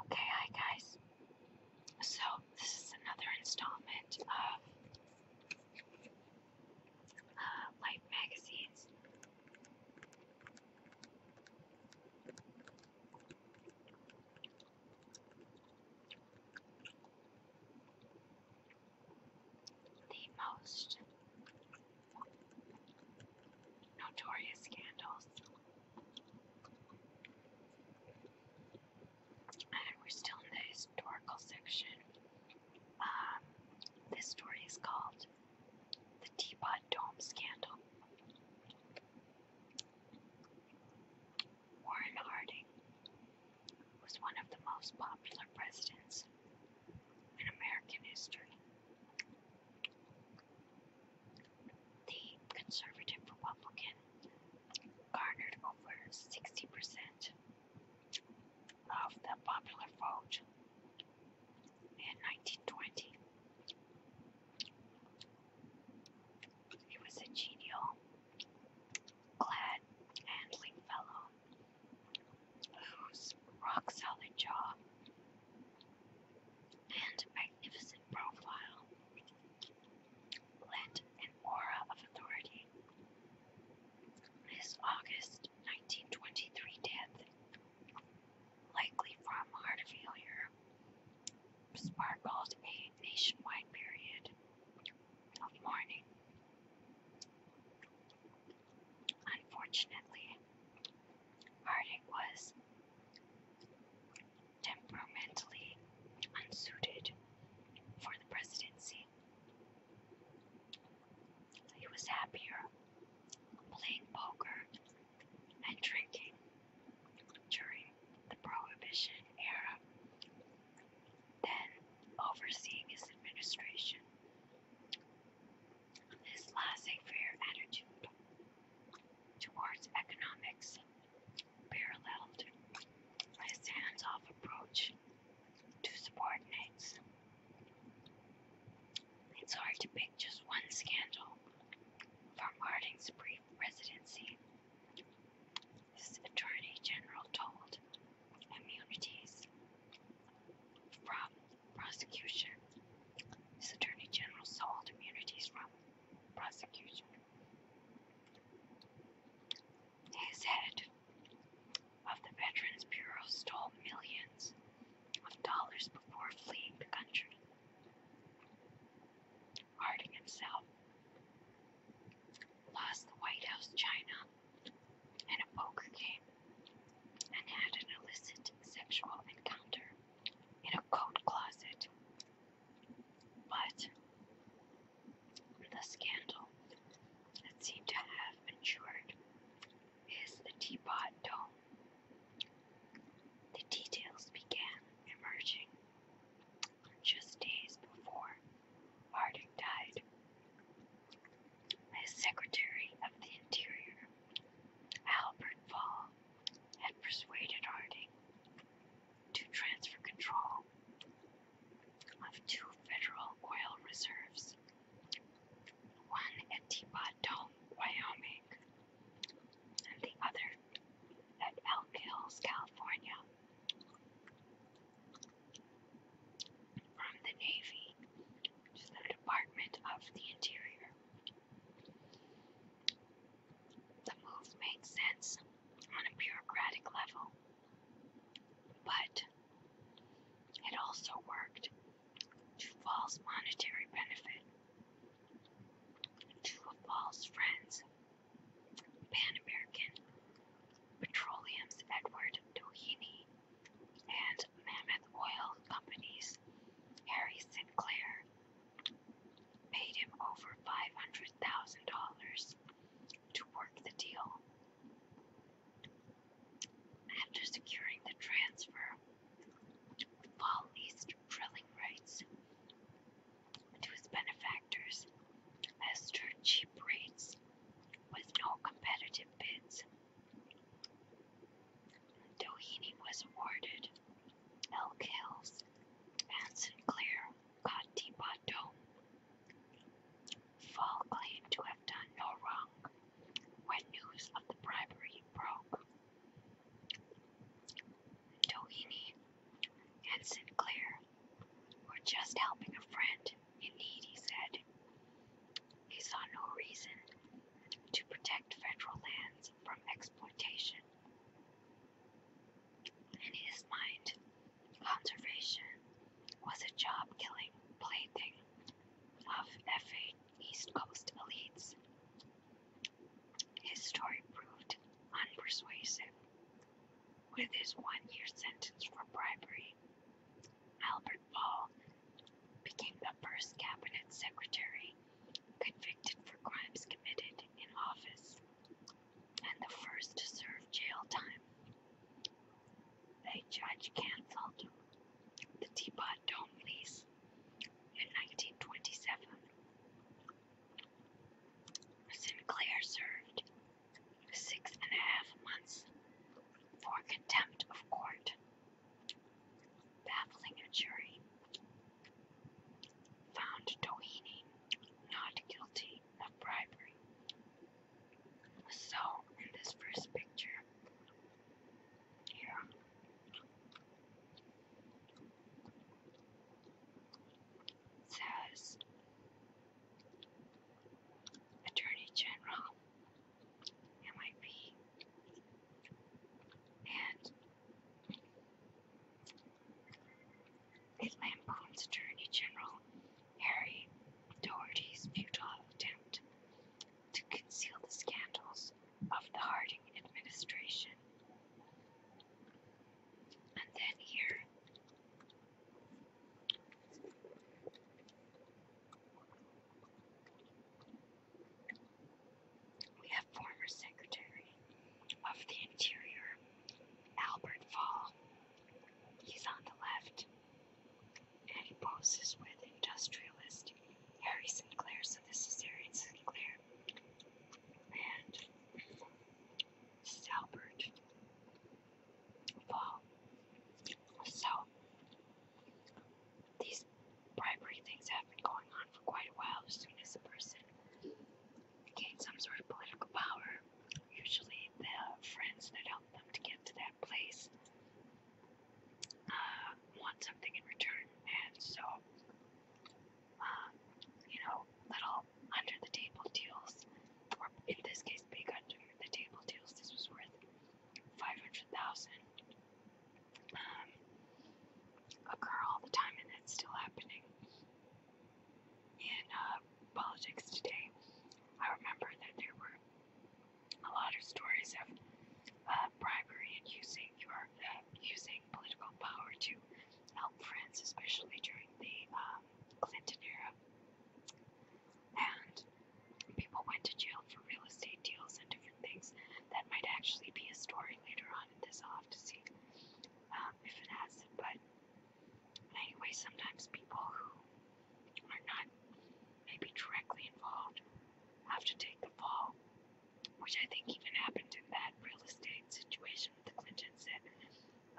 Okay, hi guys. So, this is another installment of uh, light Magazine's The Most notorious scandals. And we're still in the historical section. Um, this story is called The Teapot Dome Scandal. Warren Harding was one of the most popular presidents in American history. The conservative Republican garnered over 60% of the popular vote in 1920. He was a genial, glad, handling fellow rock solid jaw, and magnificent profile lent an aura of authority. His August 1923 death, likely from heart failure, sparked a nationwide period of mourning. Unfortunately, Harding was temperamentally unsuited for the presidency. He was happier playing poker and drinking during the Prohibition era then overseeing his administration. This laissez faire attitude towards economics paralleled his hands off approach to subordinates. It's hard to pick just one scandal from Harding's brief residency. His Attorney General told immunities from prosecution. His attorney general sold immunities from prosecution. His head of the Veterans Bureau stole millions of dollars before fleeing the country. Harding himself lost the White House China and a poker game and had an illicit sexual encounter in a coat closet. But the scandal that seemed to have ensured is the teapot dome. The details began emerging just days before Harding died. His Secretary of the Interior, Albert Fall, had persuaded Harding to transfer control of two federal oil reserves, one at Teapot Dome, Wyoming, and the other at Elk Hills, California. From the Navy to the Department of the Interior. The move made sense on a bureaucratic level, but it also worked to false monetary benefit to false friends Pan American, Petroleum's Edward Doheny, and Mammoth Oil Company's Harry Sinclair paid him over $500,000 to work the deal. After securing the transfer, Fall East drilling rights, to his benefactors as to cheap rates with no competitive bids. Doheny was awarded Elk Hills and Sinclair got Depot Fall claimed to have done no wrong when news of the bribery broke. Doheny and Sinclair were just helping a friend in need, he said. He saw no reason to protect federal lands from exploitation. In his mind, conservation was a job killing plaything of FA East Coast elites his story proved unpersuasive. With his one year sentence for bribery, Albert Ball became the first cabinet secretary convicted for crimes committed in office and the first to serve jail time. A judge canceled the Teapot Dome lease in 1927. Sinclair served six and a half months for contempt of court, baffling a jury, found Doheny not guilty of bribery. So, in this first picture, yeah. Says Attorney General MIP and it lampoons Attorney General Harry Doherty's futile attempt to conceal the scandals of the Harding administration. And then here, we have former Secretary of the Interior Albert Fall. He's on the left. And he poses with industrialist Harry Sinclair, so this is Harry Sinclair. And this is So these bribery things have been going on for quite a while. As soon as a person gains some sort of political power, usually the friends that help them to get to that that place uh, want something in return, and so uh, you know, little under the table deals, or in this case, big under the table deals. This was worth five hundred thousand. Um, occur all the time, and it's still happening in uh, politics today. I remember that there were a lot of stories of uh, bribery and using your uh, using political power to help friends, especially during the um, Clinton era. And people went to jail for real estate deals and different things. That might actually be a story later on in this. I'll have to see um, if it has it. But anyway, sometimes people who are not maybe directly involved have to take the fall, which I think even happened in that real estate situation with the Clintons that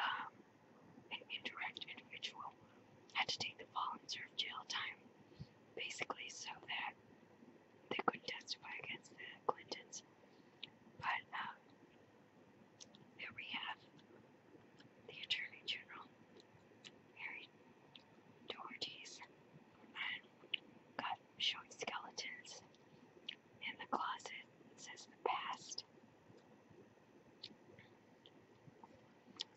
um, an indirect individual had to take the fall and serve jail time, basically, so that they could testify against the Clintons. But um, there we have the Attorney General, Harry Doherty's men showing skeletons in the closet since the past.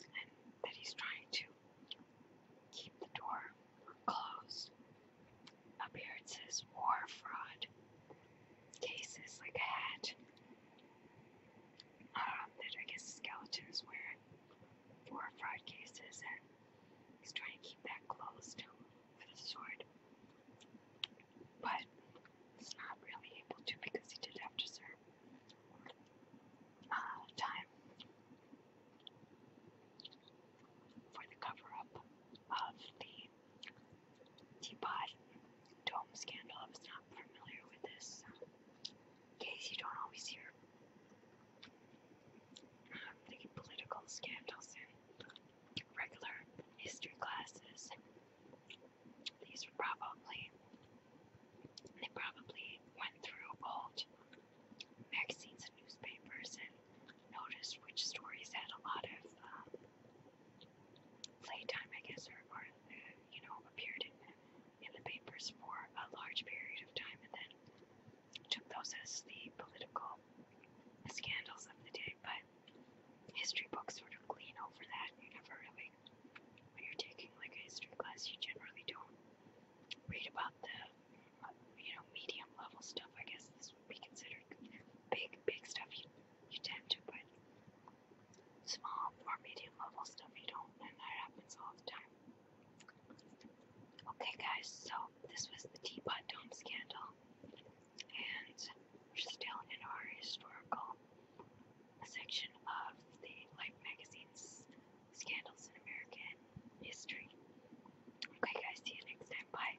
And that he's trying to keep the door closed. Appearances, war fraud, cases like a hat um, that I guess is wearing four fraud cases, and he's trying to keep that closed with a sword. But he's not really able to because he did have to serve uh, time for the cover up of the Teapot Dome scandal. I was not familiar with this case. You don't always hear um, the political scandals in regular history classes. These were probably they probably went through all magazines and newspapers and noticed which stories had a lot of. Um, playtime, I guess, or, or uh, you know, appeared in the, in the papers for a large period of time, and then took those as the political scandals of the day. But history books sort of glean over that. You never really, when you're taking like a history class, you generally don't read about the uh, you know medium level stuff. I guess this would be considered big, big stuff. You you tend to put small or medium level stuff you don't, and that happens all the time. Okay, guys, so this was the Teapot Dome scandal, and we're still in our historical section of the Life magazine's scandals in American history. Okay, guys, see you next time. Bye.